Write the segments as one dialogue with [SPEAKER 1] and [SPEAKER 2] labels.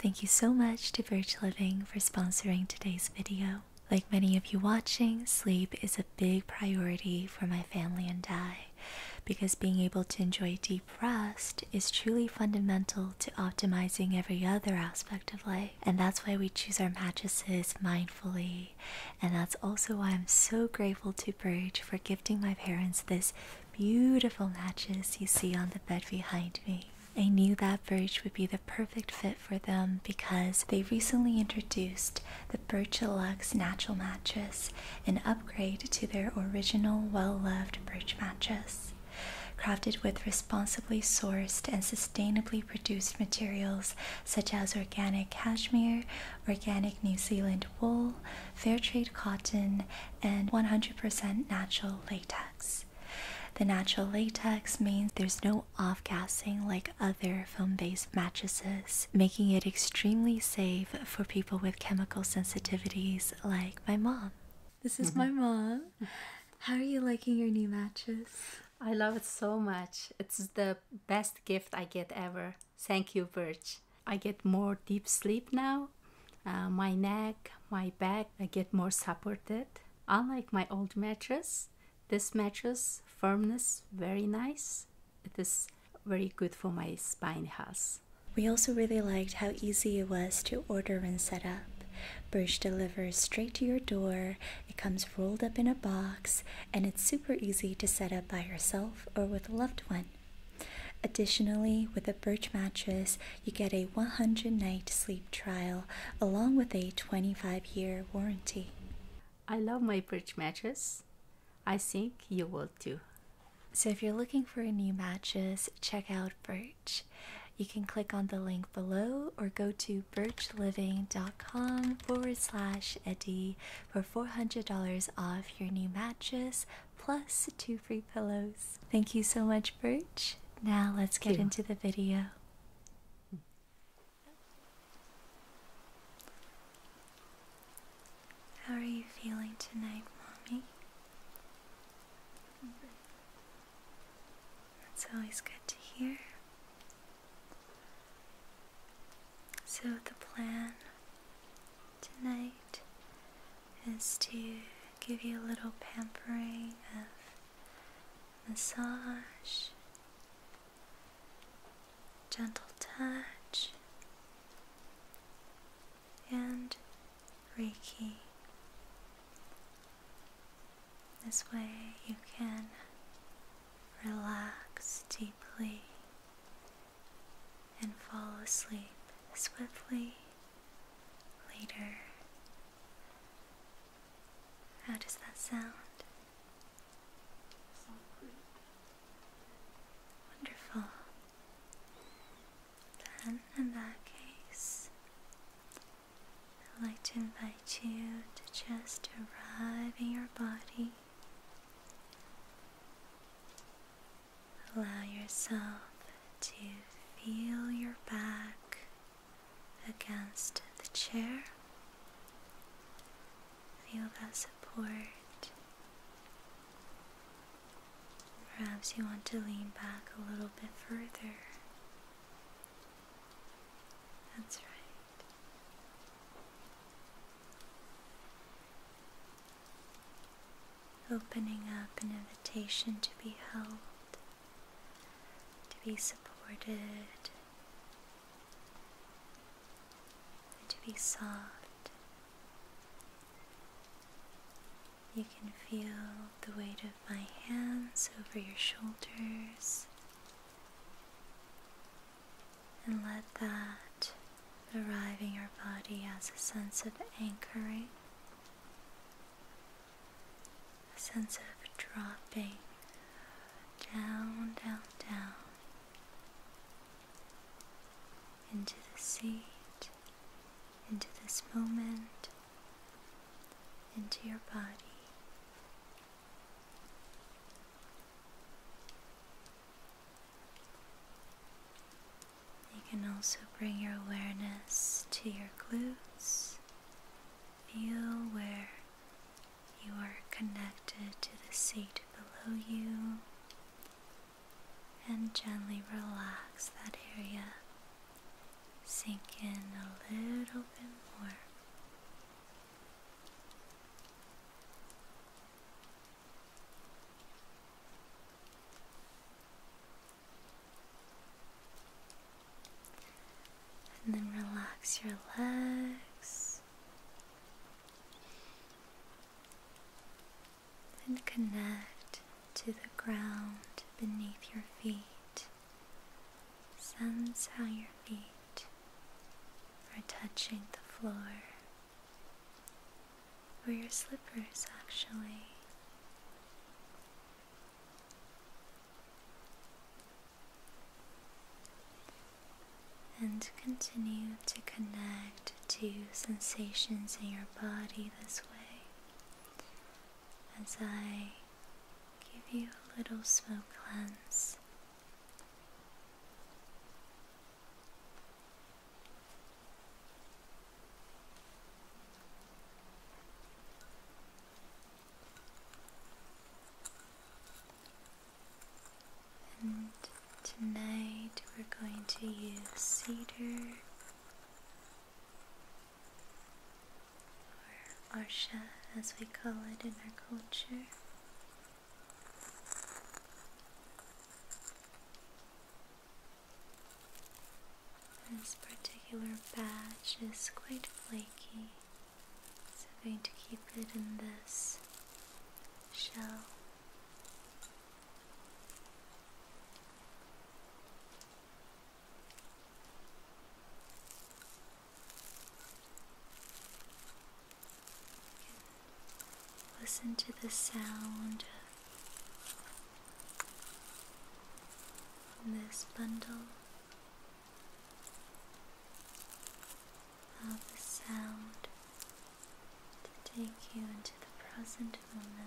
[SPEAKER 1] Thank you so much to Birch Living for sponsoring today's video. Like many of you watching, sleep is a big priority for my family and I because being able to enjoy deep rest is truly fundamental to optimizing every other aspect of life. And that's why we choose our mattresses mindfully. And that's also why I'm so grateful to Birch for gifting my parents this beautiful mattress you see on the bed behind me. I knew that birch would be the perfect fit for them because they recently introduced the Birch Deluxe Natural Mattress, an upgrade to their original well loved birch mattress. Crafted with responsibly sourced and sustainably produced materials such as organic cashmere, organic New Zealand wool, fair trade cotton, and 100% natural latex. The natural latex means there's no off gassing like other foam based mattresses, making it extremely safe for people with chemical sensitivities like my mom. This is my mm-hmm. mom. How are you liking your new mattress? I love it so much. It's the best gift I get ever. Thank you, Birch. I get more deep sleep now uh, my neck, my back, I get more supported. Unlike my old mattress, this mattress firmness very nice. It is very good for my spine health. We also really liked how easy it was to order and set up. Birch delivers straight to your door, it comes rolled up in a box, and it's super easy to set up by yourself or with a loved one. Additionally, with a Birch mattress, you get a 100 night sleep trial along with a 25 year warranty. I love my perch mattress. I think you will too. So, if you're looking for a new mattress, check out Birch. You can click on the link below or go to birchliving.com forward slash Eddie for $400 off your new mattress plus two free pillows. Thank you so much, Birch. Now let's get into the video. How are you feeling tonight, Mommy? That's always good to hear. So, the plan tonight is to give you a little pampering of massage, gentle touch, and Reiki. This way you can relax deeply and fall asleep swiftly later how does that sound? Wonderful. Then, in that case, I'd like to invite you to just arrive in your body. Allow yourself to feel your back against the chair. Feel that support. Perhaps you want to lean back a little bit further. That's right. Opening up an invitation to be held to be supported, and to be soft. You can feel the weight of my hands over your shoulders and let that arrive in your body as a sense of anchoring a sense of dropping down, down, down into the seat, into this moment, into your body. You can also bring your awareness to your glutes. Feel where you are connected to the seat below you and gently relax that area. sinking a little bit more. And then relax your legs and connect to the ground beneath your feet. Sense how your feet are touching the floor or your slippers actually. And continue to connect to sensations in your body this way as I give you a little smoke cleanse. And tonight we're going to use cedar or arsha as we call it in our culture. This particular batch is quite flaky, so I'm going to keep it in this shell. Listen to the sound this bundle of sound to take you into the present moment.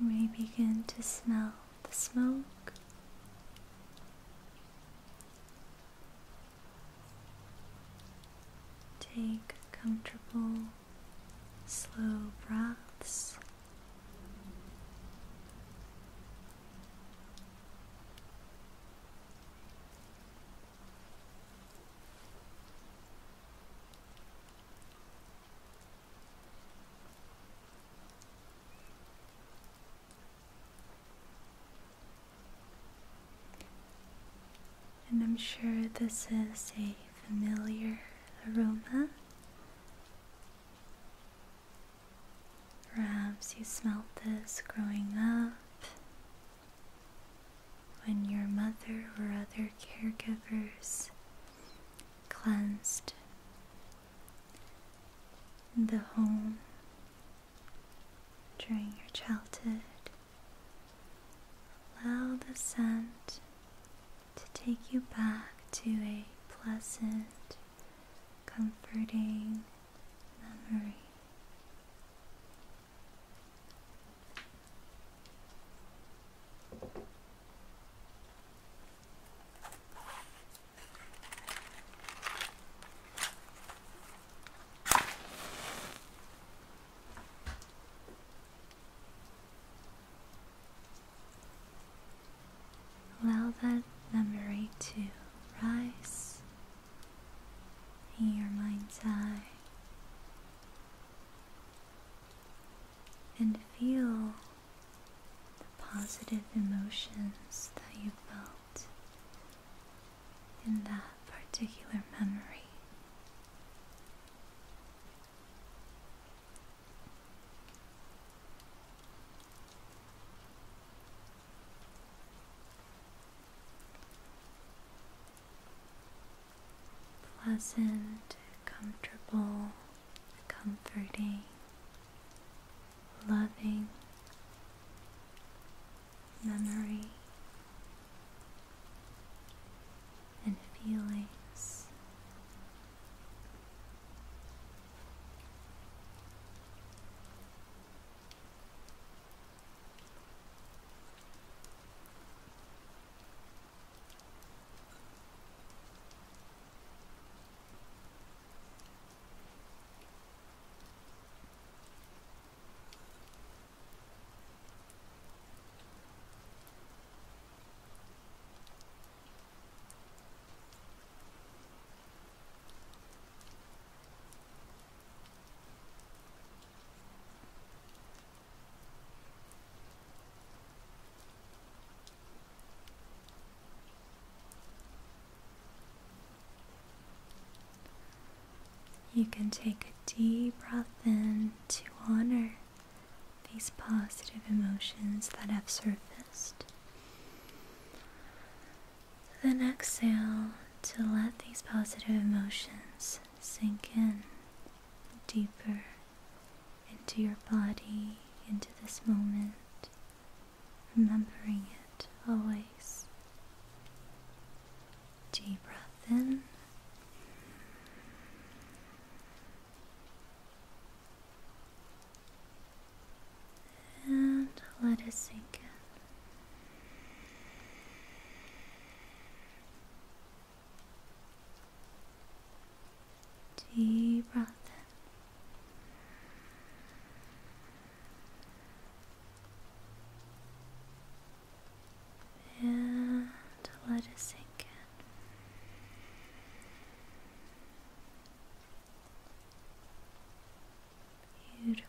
[SPEAKER 1] We begin to smell the smoke. Take a comfortable slow breaths. And I'm sure this is a familiar aroma. Perhaps you smelt this growing up when your mother or other caregivers cleansed the home during your childhood. Allow the scent to take you back to a pleasant, comforting memory. Allow that memory to rise in your mind's eye and feel the positive emotions that you felt in that particular memory. Pleasant, comfortable, comforting, loving memory and feelings. You can take a deep breath in to honor these positive emotions that have surfaced. Then exhale to let these positive emotions sink in deeper into your body, into this moment, remembering it always. Deep breath in. And let us sink in. Deep breath in and let it sink in. Beautiful.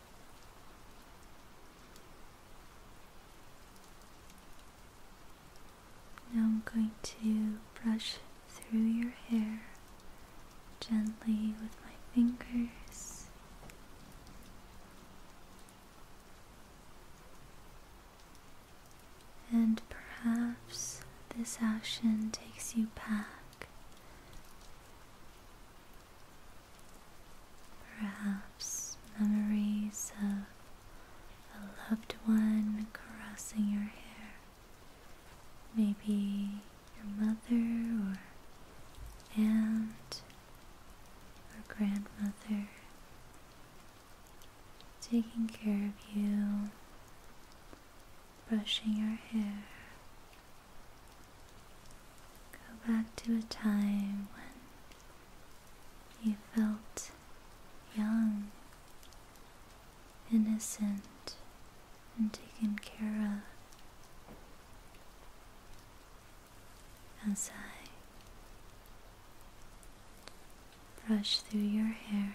[SPEAKER 1] Now I'm going to brush through your hair gently with my fingers. And perhaps this action takes you back Perhaps memories of a loved one caressing your hair. Maybe your mother or aunt or grandmother taking care of you, brushing your hair. Go back to a time when you felt young, innocent, and taken care of. As I brush through your hair.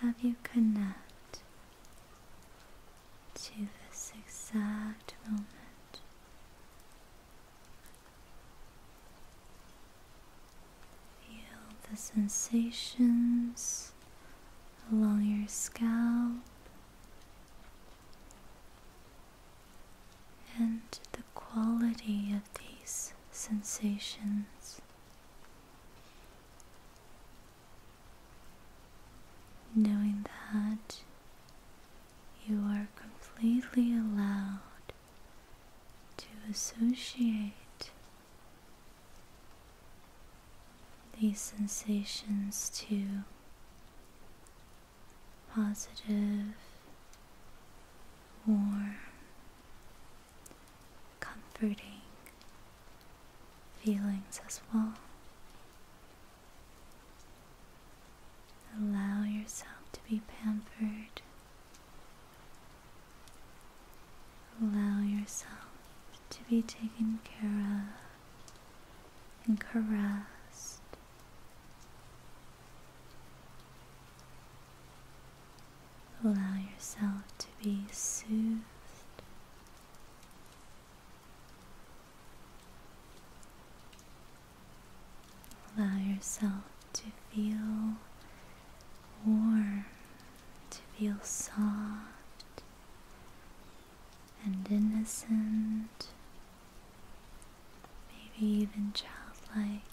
[SPEAKER 1] have you connected to this exact moment Feel the sensations along your scalp and the quality of these sensations. Knowing that you are completely allowed to associate these sensations to positive, warm, comforting feelings as well. Allow yourself to be pampered Allow yourself to be taken care of and caressed. Allow yourself to be soothed. Allow yourself to feel warm, to feel soft and innocent, maybe even childlike.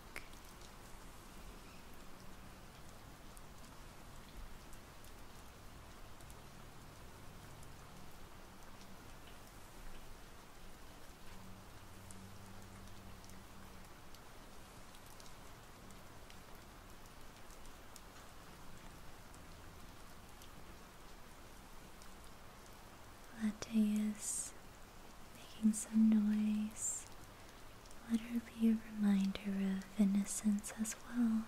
[SPEAKER 1] Latte is making some noise. Let her be a reminder of innocence as well.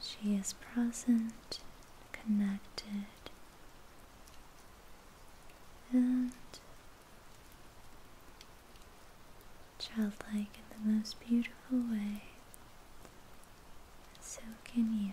[SPEAKER 1] She is present, connected, and childlike in the most beautiful way, so can you.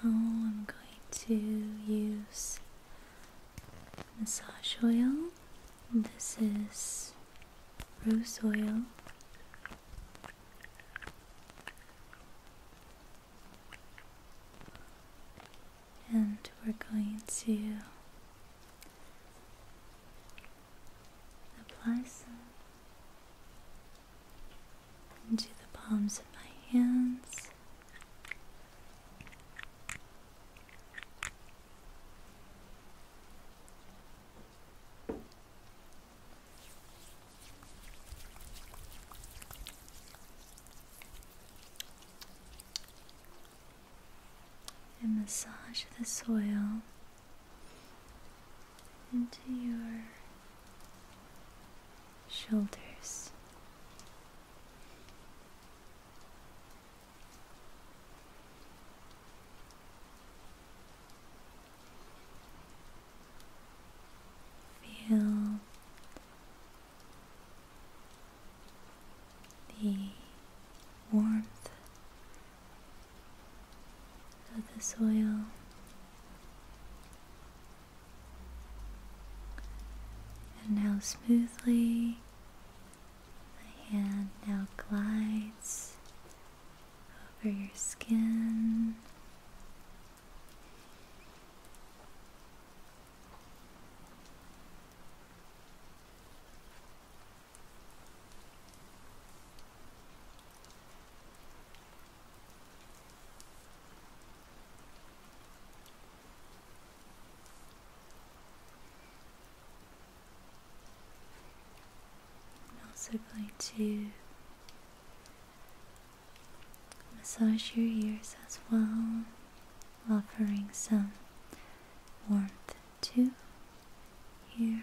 [SPEAKER 1] Now I'm going to use massage oil. This is rose oil. And we're going to apply some into the palms of my hands. And massage the soil into your shoulders. Feel the warmth of the soil. And how smoothly my hand now glides over your skin. I'm also going to massage your ears as well, offering some warmth to your ears.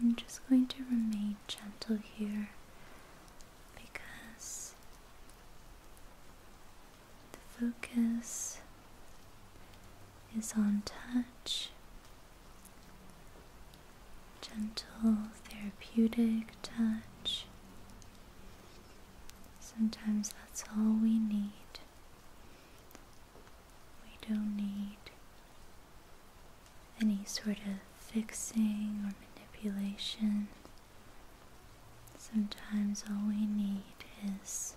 [SPEAKER 1] I'm just going to remain gentle here because the focus is on touch, gentle, therapeutic touch. Sometimes that's all we need. We don't need any sort of fixing or manipulation. Sometimes all we need is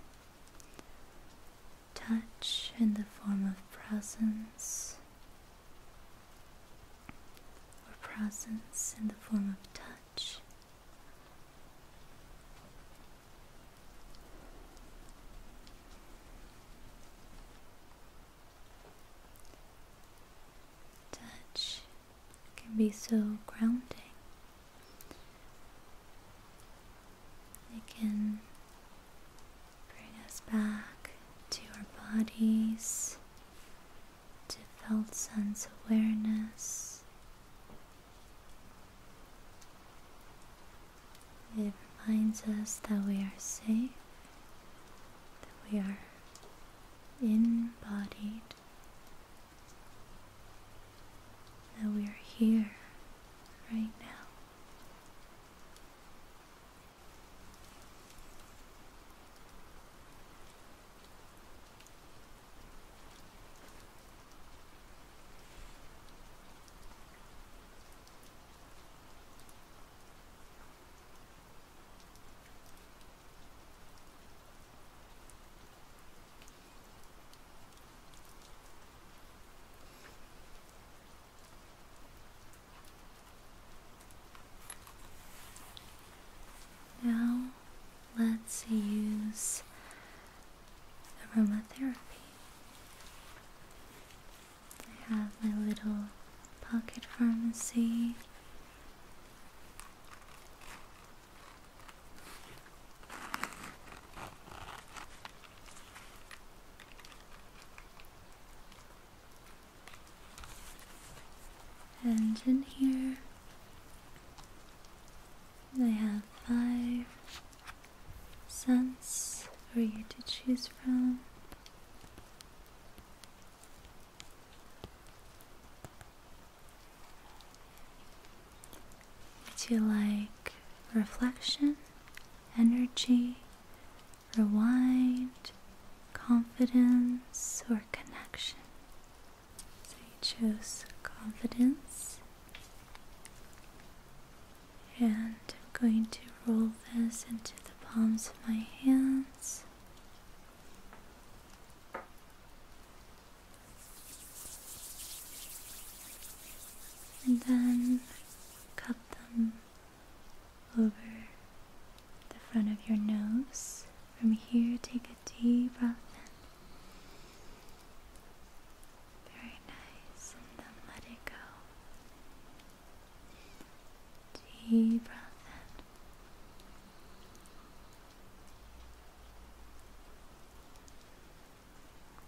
[SPEAKER 1] touch in the form of presence or presence in the form of touch. Touch can be so grounding. It can bring us back to our bodies, to felt sense awareness. It reminds us that we are safe, that we are embodied, that we are here right now. Now, let's use aromatherapy. I have my little pocket pharmacy. And in here, I have five scents for you to choose from. Would you like reflection, energy, rewind, confidence, or connection? So you chose confidence. And I'm going to roll this into the palms of my hands and then cut them over the front of your nose. From here, take a deep breath in. Very nice, and then let it go. Deep breath in.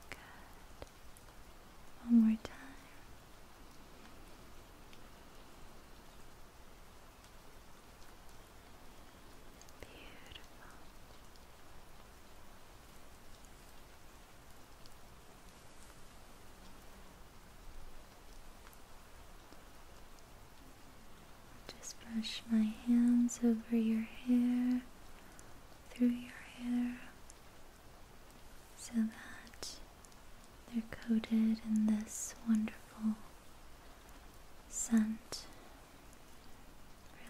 [SPEAKER 1] Good. One more time. Beautiful. Just brush my hands over your hair, through your hair, so that they're coated in this wonderful scent.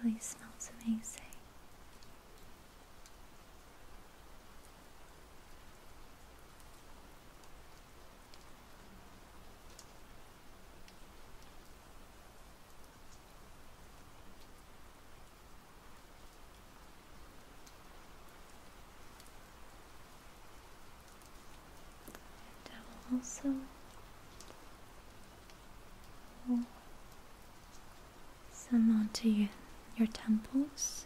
[SPEAKER 1] really smells amazing. And I will also pull some onto your temples.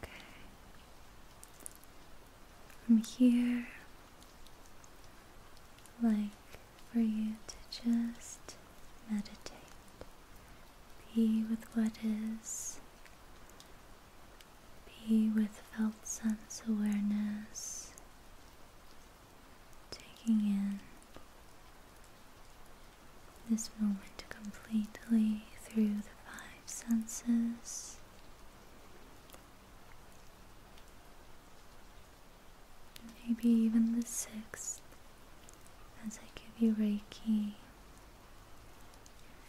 [SPEAKER 1] Okay. From here, like for you to just meditate. Be with what is. Be with felt sense awareness. Taking in this moment completely through the five senses. Maybe even the sixth as I give you Reiki.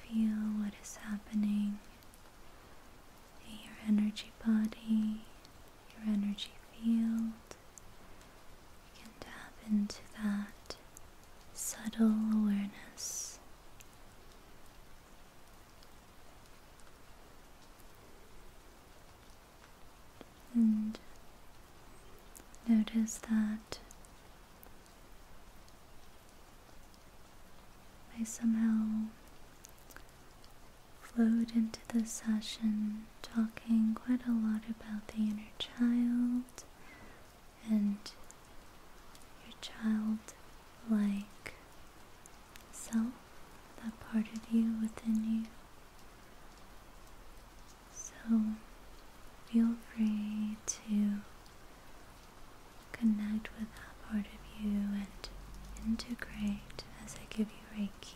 [SPEAKER 1] Feel what is happening in your energy body, your energy field. You can tap into that subtle awareness. And notice that I somehow flowed into the session talking quite a lot about the inner child and your child-like self, that part of you within you. So feel free to connect with that part of you and integrate as I give you Reiki.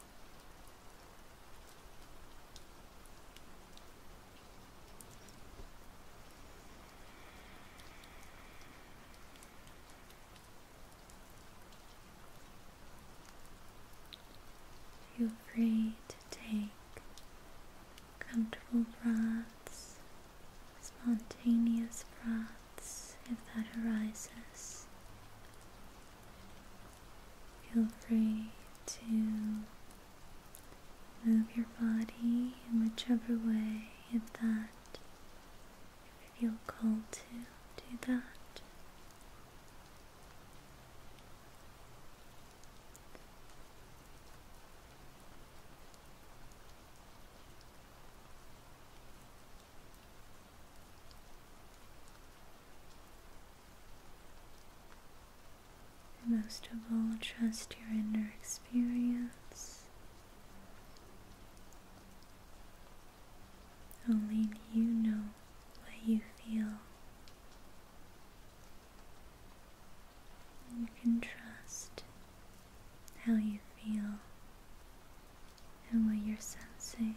[SPEAKER 1] Feel free to take comfortable breaths, spontaneous breaths if that arises. Feel free to move your body in whichever way if that if you feel called to do that. And most of all, trust your inner experience. Only you know what you feel. You can trust how you feel and what you're sensing.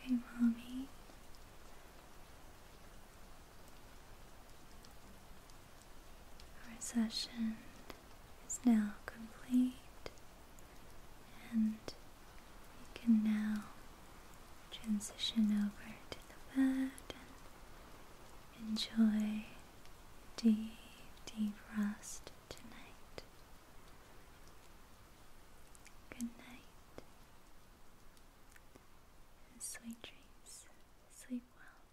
[SPEAKER 1] Okay, mommy. Our session is now complete. And we can now transition over to the bed and enjoy deep, deep rest tonight. Good night. And sweet dreams. Sleep well.